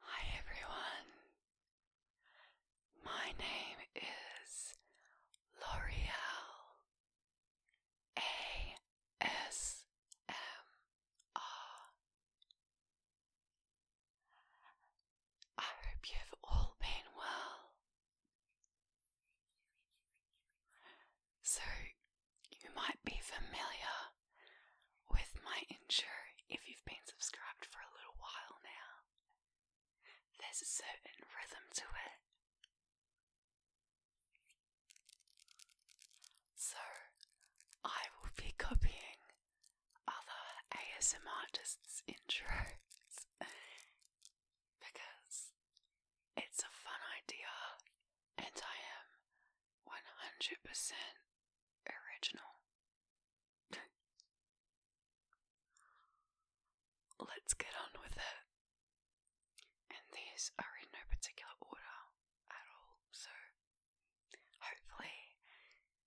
Hi everyone. My name is L'Oreal ASMR. hope you've all been well. So, you might be familiar with my intro if you've been subscribed for a little while now. There's a certain rhythm to it. So, I will be copying other ASM artists' intros because it's a fun idea and I am 100% original. Let's get on with it. And these are in no particular order at all, so hopefully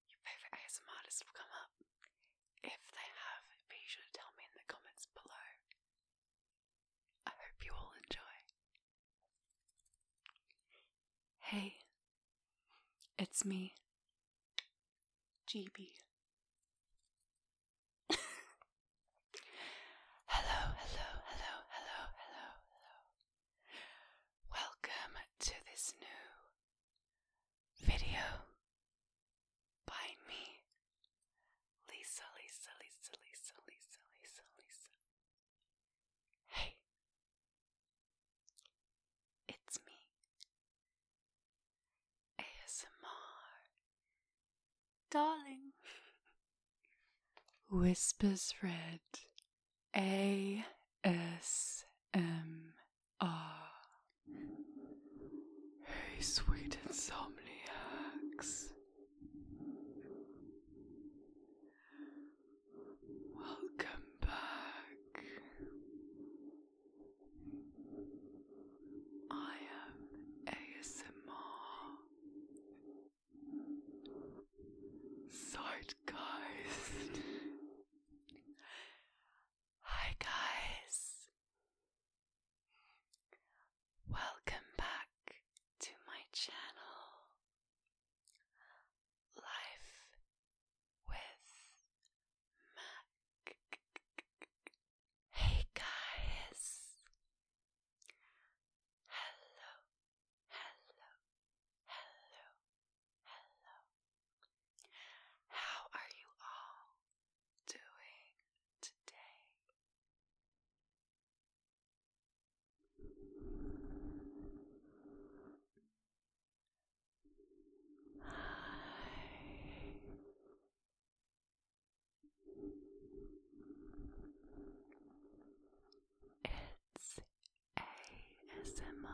your favourite ASM artists will come up. If they have, be sure to tell me in the comments below. I hope you all enjoy. Hey, it's me, GB. hello, hello, hello, hello, hello, hello. Welcome to this new video by me, Lisa, Lisa, Lisa, Lisa, Lisa, Lisa, Lisa. Hey, it's me, ASMR, darling. Whispers Red, ASMR. Hey, sweet insomniacs. Welcome back. I am ASMR. Zeitgeist. Hi, guys. Welcome back to my channel. Life with Mac. Hey guys! Hello, hello, hello, hello. How are you all doing today? It's ASMR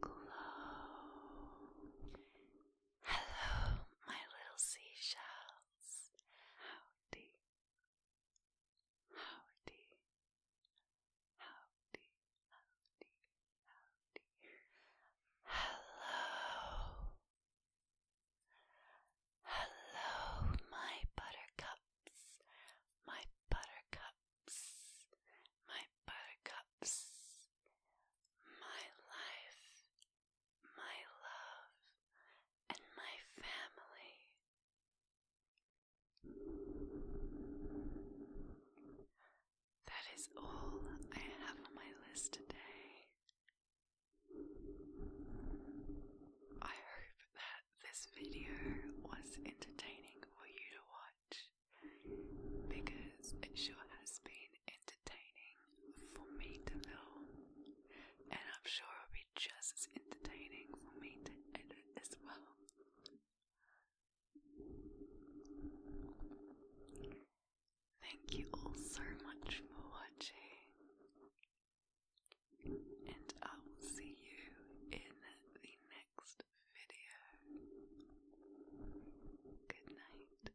Glow. Hello, my little seashells. How Howdy. Howdy. Howdy. Howdy. Howdy. Hello. Hello, my buttercups. My buttercups. My buttercups. My life my love, and my family. That is all I have on my list today. I hope that this video was entertaining for you to watch because it sure has been entertaining for me to film, and I'm sure it'll be just as entertaining for me to edit as well. Thank you all so much for watching, and I will see you in the next video. Good night.